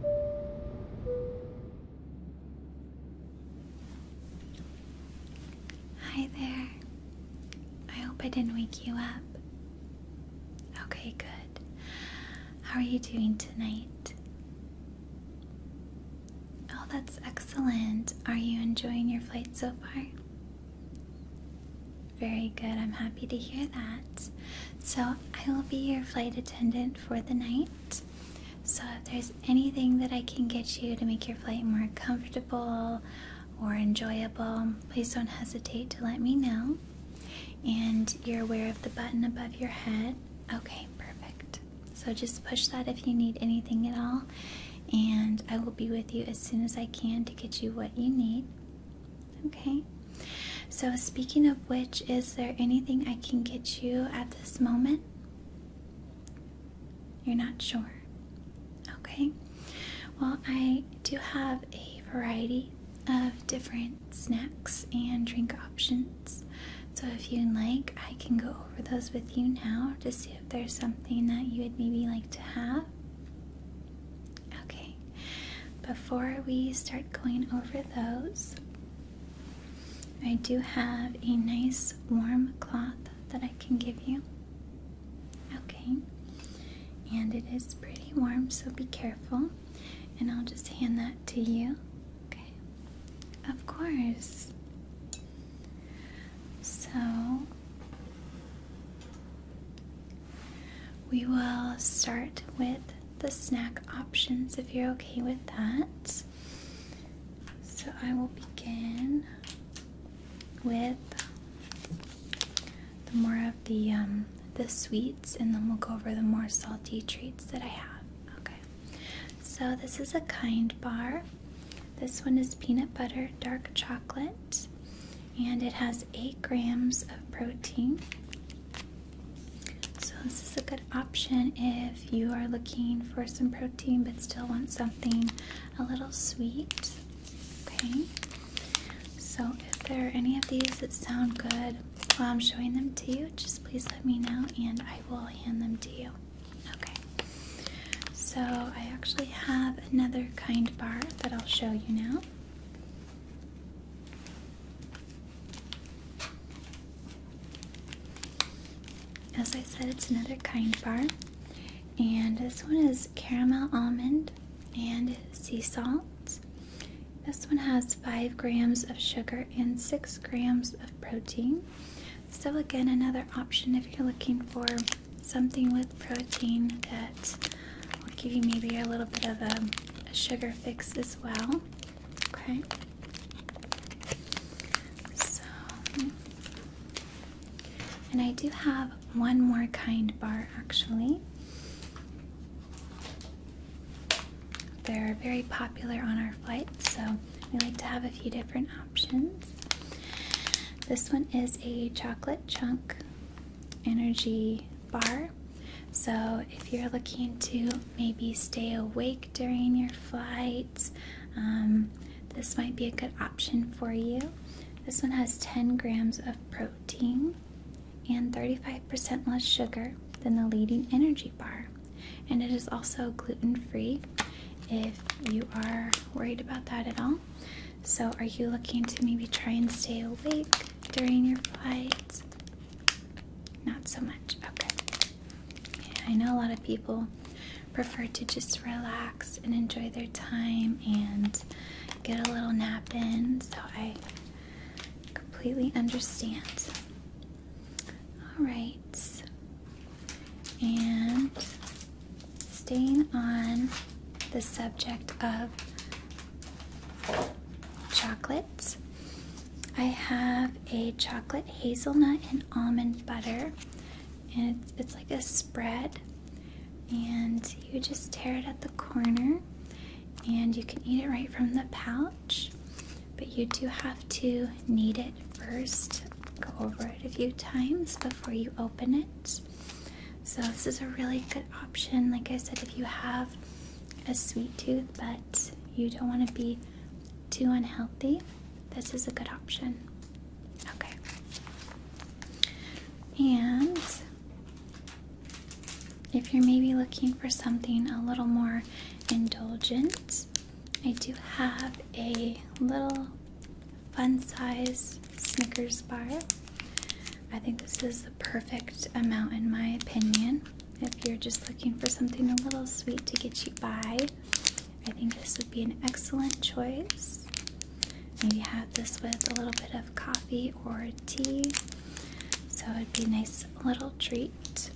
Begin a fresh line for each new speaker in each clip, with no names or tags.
Hi there. I hope I didn't wake you up. Okay, good. How are you doing tonight? Oh, that's excellent. Are you enjoying your flight so far? Very good. I'm happy to hear that. So, I will be your flight attendant for the night. So, if there's anything that I can get you to make your flight more comfortable or enjoyable, please don't hesitate to let me know. And you're aware of the button above your head. Okay, perfect. So, just push that if you need anything at all. And I will be with you as soon as I can to get you what you need. Okay. So, speaking of which, is there anything I can get you at this moment? You're not sure. Okay. Well, I do have a variety of different snacks and drink options. So, if you'd like, I can go over those with you now to see if there's something that you would maybe like to have. Okay. Before we start going over those, I do have a nice warm cloth that I can give you. Okay, and it is pretty warm, so be careful. And I'll just hand that to you. Okay, of course. So, we will start with the snack options if you're okay with that. So I will begin with the more of the um, the sweets, and then we'll go over the more salty treats that I have. Okay. So this is a kind bar. This one is peanut butter dark chocolate, and it has eight grams of protein. So, this is a good option if you are looking for some protein but still want something a little sweet. Okay, so if there are any of these that sound good while I'm showing them to you, just please let me know and I will hand them to you. Okay, so I actually have another kind bar that I'll show you now. As I said, it's another kind bar, and this one is caramel almond and sea salt. This one has 5 grams of sugar and 6 grams of protein. So, again, another option if you're looking for something with protein that will give you maybe a little bit of a, sugar fix is well. Okay. So, and I do have one more kind bar actually. They're very popular on our flights, so we like to have a few different options. This one is a chocolate chunk energy bar so, if you're looking to maybe stay awake during your flight, um, this might be a good option for you. This one has 10 grams of protein and 35% less sugar than the leading energy bar. And it is also gluten free if you are worried about that at all. So, are you looking to maybe try and stay awake during your flight? Not so much. Okay. I know a lot of people prefer to just relax and enjoy their time and get a little nap in, so I completely understand. All right. And staying on the subject of chocolates. I have a chocolate hazelnut and almond butter, and it's, it's like a spread. And you just tear it at the corner, and you can eat it right from the pouch. But you do have to knead it first, go over it a few times before you open it. So, this is a really good option. Like I said, if you have a sweet tooth but you don't want to be too unhealthy, this is a good option. Okay. And if you're maybe looking for something a little more indulgent, I do have a little fun size Snickers bar. I think this is the perfect amount, in my opinion. If you're just looking for something a little sweet to get you by, I think this would be an excellent choice. Maybe have this with a little bit of coffee or tea. So it'd be a nice little treat.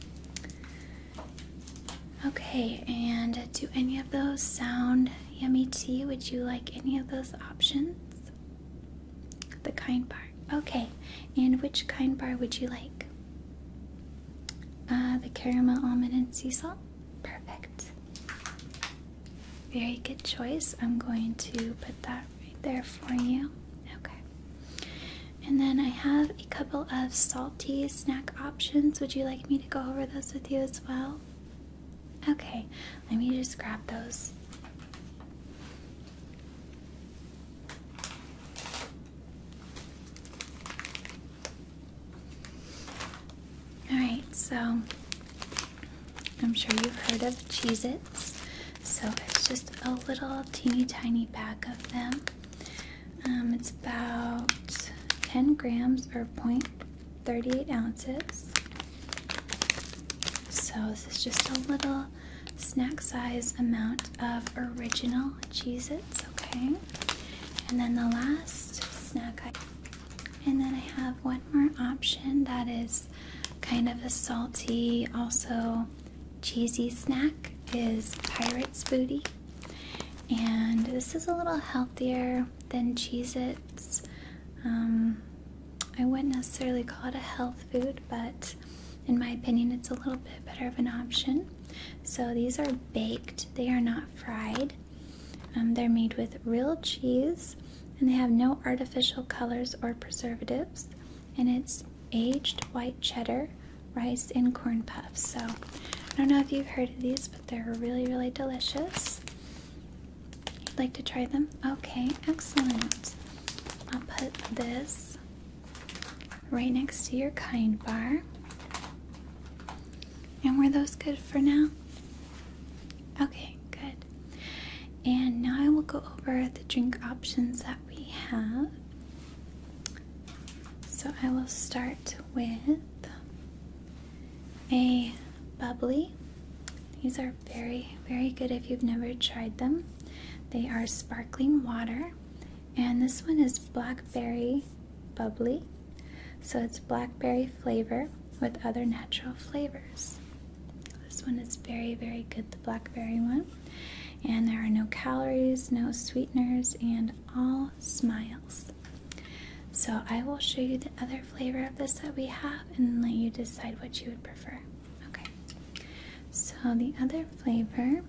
Okay, and do any of those sound yummy Tea? Would you like any of those options? The kind bar. Okay, and which kind bar would you like? Uh, the caramel almond and sea salt. Perfect. Very good choice. I'm going to put that right there for you. Okay. And then I have a couple of salty snack options. Would you like me to go over those with you as well? Okay, let me just grab those Alright, so I'm sure you've heard of Cheez So it's just a little teeny tiny pack of them. Um, it's about 10 grams or 0.38 ounces. So, this is just a little snack size amount of original Cheez okay? And then the last snack item. And then I have one more option that is kind of a salty, also cheesy snack is Pirate's Booty. And this is a little healthier than Cheez Um, I wouldn't necessarily call it a health food, but in my opinion, it's a little bit better of an option. So these are baked, they are not fried. Um, they're made with real cheese and they have no artificial colors or preservatives. And it's aged white cheddar, rice, and corn puffs. So I don't know if you've heard of these, but they're really, really delicious. You'd like to try them? Okay, excellent. I'll put this right next to your kind bar. And were those good for now? Okay, good. And now I will go over the drink options that we have. So I will start with a bubbly these are very, very good if you've never tried them. They are sparkling water, and this one is blackberry bubbly. So it's blackberry flavor with other natural flavors. This one is very, very good, the blackberry one. And there are no calories, no sweeteners, and all smiles. So I will show you the other flavor of this that we have and let you decide what you would prefer. Okay, so the other flavor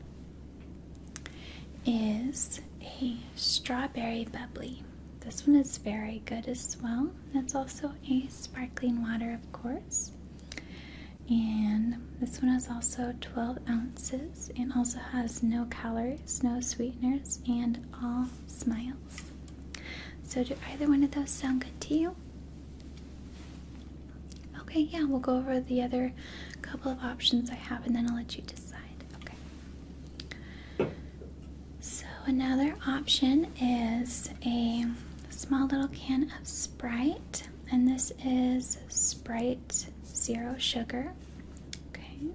is a strawberry bubbly. This one is very good as well. It's also a sparkling water, of course. And this one is also 12 ounces and also has no calories, no sweeteners, and all smiles. So, do either one of those sound good to you? Okay, yeah, we'll go over the other couple of options I have and then I'll let you decide. Okay. So, another option is a small little can of Sprite, and this is Sprite Zero Sugar. Okay.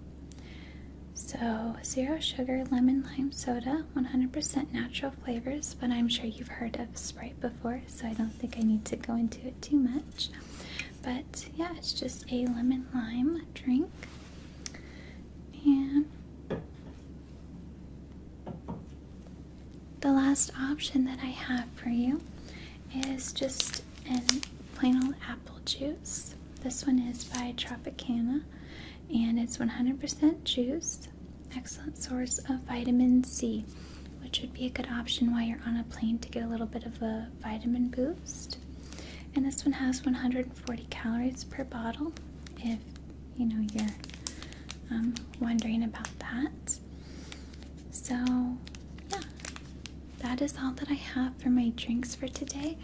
So, zero sugar lemon lime soda, 100% natural flavors, but I'm sure you've heard of Sprite before, so I don't think I need to go into it too much. But yeah, it's just a lemon lime drink. And the last option that I have for you is just an plain old apple juice. This one is by Tropicana and it's 100% juice. Excellent source of vitamin C, which would be a good option while you're on a plane to get a little bit of a vitamin boost. And this one has 140 calories per bottle, if you know you're um, wondering about that. So, yeah, that is all that I have for my drinks for today.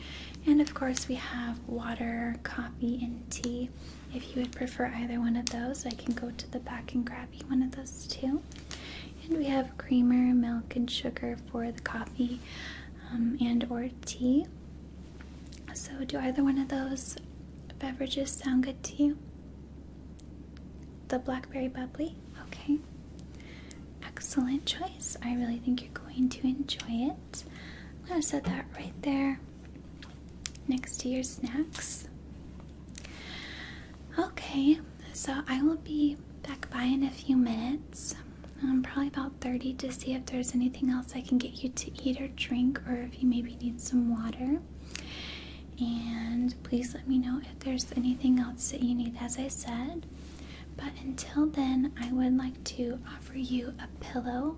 And of course, we have water, coffee, and tea. If you would prefer either one of those, I can go to the back and grab you one of those too. And we have creamer, milk, and sugar for the coffee um, and or tea. So do either one of those beverages sound good to you? The blackberry bubbly? Okay. Excellent choice. I really think you're going to enjoy it. I'm gonna set that right there next to your snacks. Okay, so I will be back by in a few minutes. Um, probably about 30 to see if there's anything else I can get you to eat or drink or if you maybe need some water. And please let me know if there's anything else that you need, as I said. But until then, I would like to offer you a pillow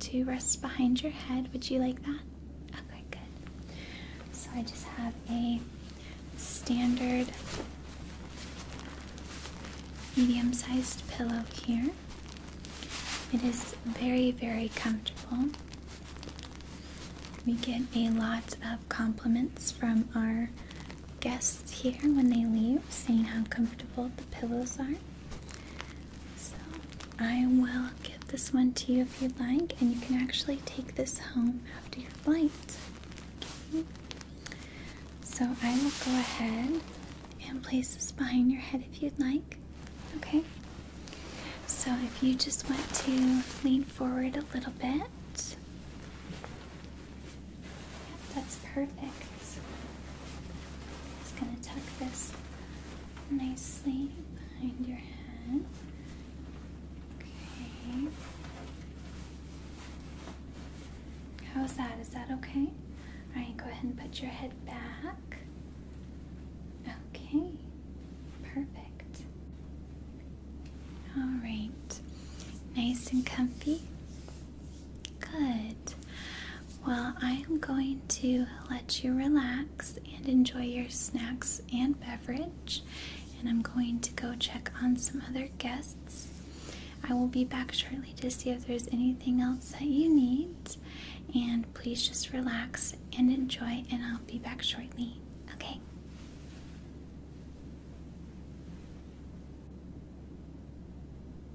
to rest behind your head. Would you like that? Okay, good. So I just have a standard medium sized pillow here. It is very, very comfortable. We get a lot of compliments from our guests here when they leave, saying how comfortable the pillows are. So I will give this one to you if you'd like, and you can actually take this home after your flight. So I will go ahead and place this behind your head if you'd like. Okay? So if you just want to lean forward a little bit that's perfect. Just gonna tuck this nicely behind your head. Okay. How's that? Is that okay? Alright, go ahead and put your head back. Okay, perfect. Alright, nice and comfy. Good. Well, I am going to let you relax and enjoy your snacks and beverage. And I'm going to go check on some other guests. I will be back shortly to see if there's anything else that you need. And please just relax and enjoy, and I'll be back shortly. Okay.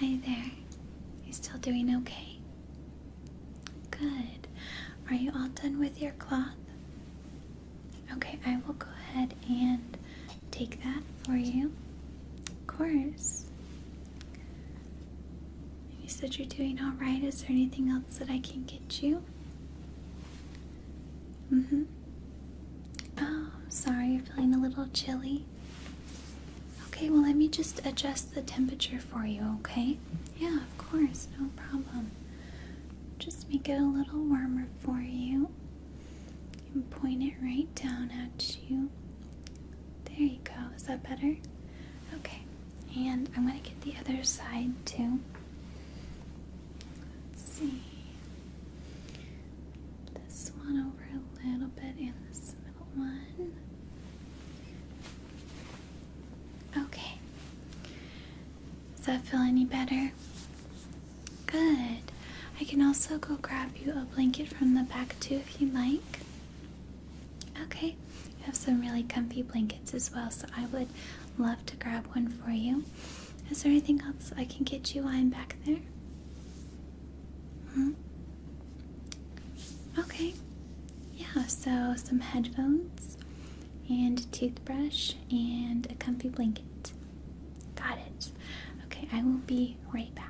Hi there. You still doing okay? Good. Are you all done with your cloth? Okay, I will go ahead and take that for you. Of course. You said you're doing all right. Is there anything else that I can get you? Mm-hmm. Oh, I'm sorry. You're feeling a little chilly. Okay, well, let me just adjust the temperature for you, okay? Yeah, of course. No problem. Just make it a little warmer for you and point it right down at you. There you go. Is that better? Okay. And I'm going to get the other side too. see. This one over a little bit and this one. Okay. Does that feel any better? Good. I can also go grab you a blanket from the back too if you like. Okay, you have some really comfy blankets as well, so I would love to grab one for you. Is there anything else I can get you while I'm back there? hmm? Okay. Yeah, so some headphones and a toothbrush and a comfy blanket. Got it. Okay, I will be right back.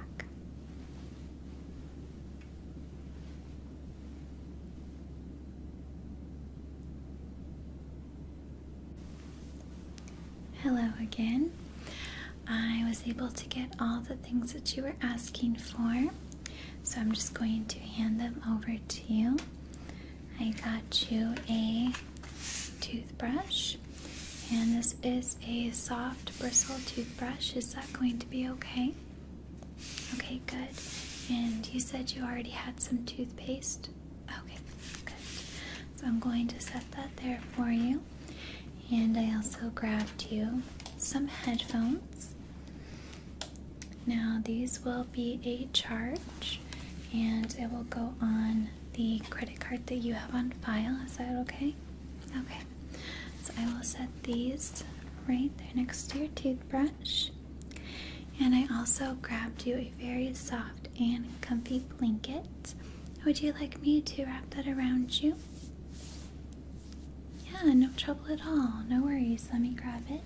Hello again. I was able to get all the things that you were asking for, so I'm just going to hand them over to you. I got you a toothbrush and this is a soft bristle toothbrush. Is that going to be okay? Okay, good. And you said you already had some toothpaste? Okay, good. So I'm going to set that there for you. And I also grabbed you some headphones. Now, these will be a charge and it will go on the credit card that you have on file. Is that okay? Okay. So I will set these right there next to your toothbrush. And I also grabbed you a very soft and comfy blanket. Would you like me to wrap that around you? Yeah, no trouble at all. No worries. Let me grab it.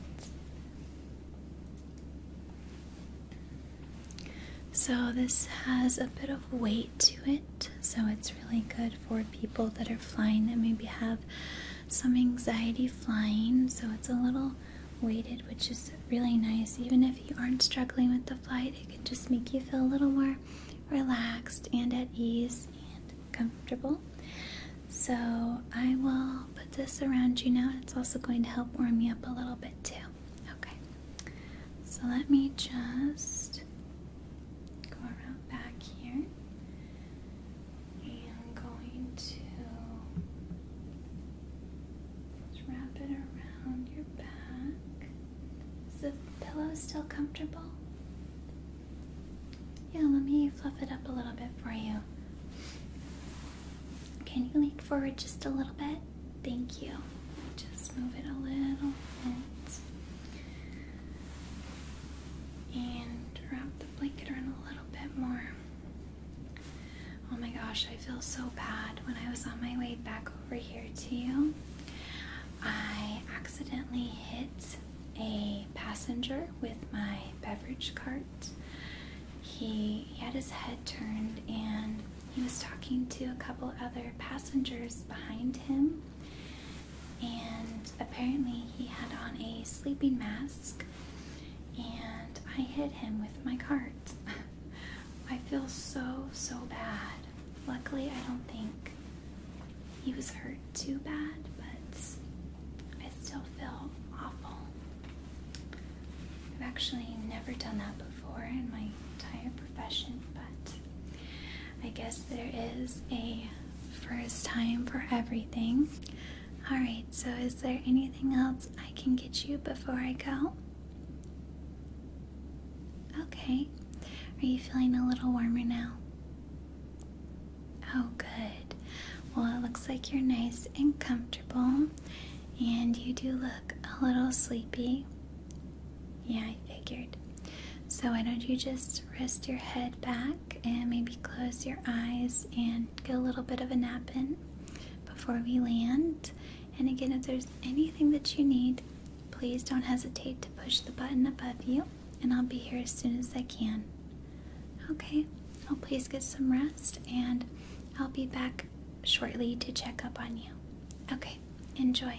So, this has a bit of weight to it, so it's really good for people that are flying and maybe have some anxiety flying. So, it's a little weighted, which is really nice. Even if you aren't struggling with the flight, it can just make you feel a little more relaxed and at ease and comfortable. So, I will put this around you now. It's also going to help warm you up a little bit, too. Okay. So let me just go around back here. And I'm going to wrap it around your back. Is the pillow still comfortable? Yeah, let me fluff it up a little bit for you. Can you lean forward just a little bit? Thank you. Just move it a little bit. And wrap the blanket around a little bit more. Oh my gosh, I feel so bad. When I was on my way back over here to you, I accidentally hit a passenger with my beverage cart. He, he had his head turned and he was talking to a couple other passengers behind him, and apparently he had on a sleeping mask, and I hit him with my cart. I feel so, so bad. Luckily, I don't think he was hurt too bad, but I still feel awful. I've actually never done that before in my entire profession, but I guess there is a first time for everything. Alright, so is there anything else I can get you before I go? Okay. Are you feeling a little warmer now? Oh, good. Well, it looks like you're nice and comfortable. And you do look a little sleepy. Yeah, I figured. So, why don't you just rest your head back and maybe close your eyes and get a little bit of a nap in before we land? And again, if there's anything that you need, please don't hesitate to push the button above you, and I'll be here as soon as I can. Okay, I'll please get some rest, and I'll be back shortly to check up on you. Okay, enjoy.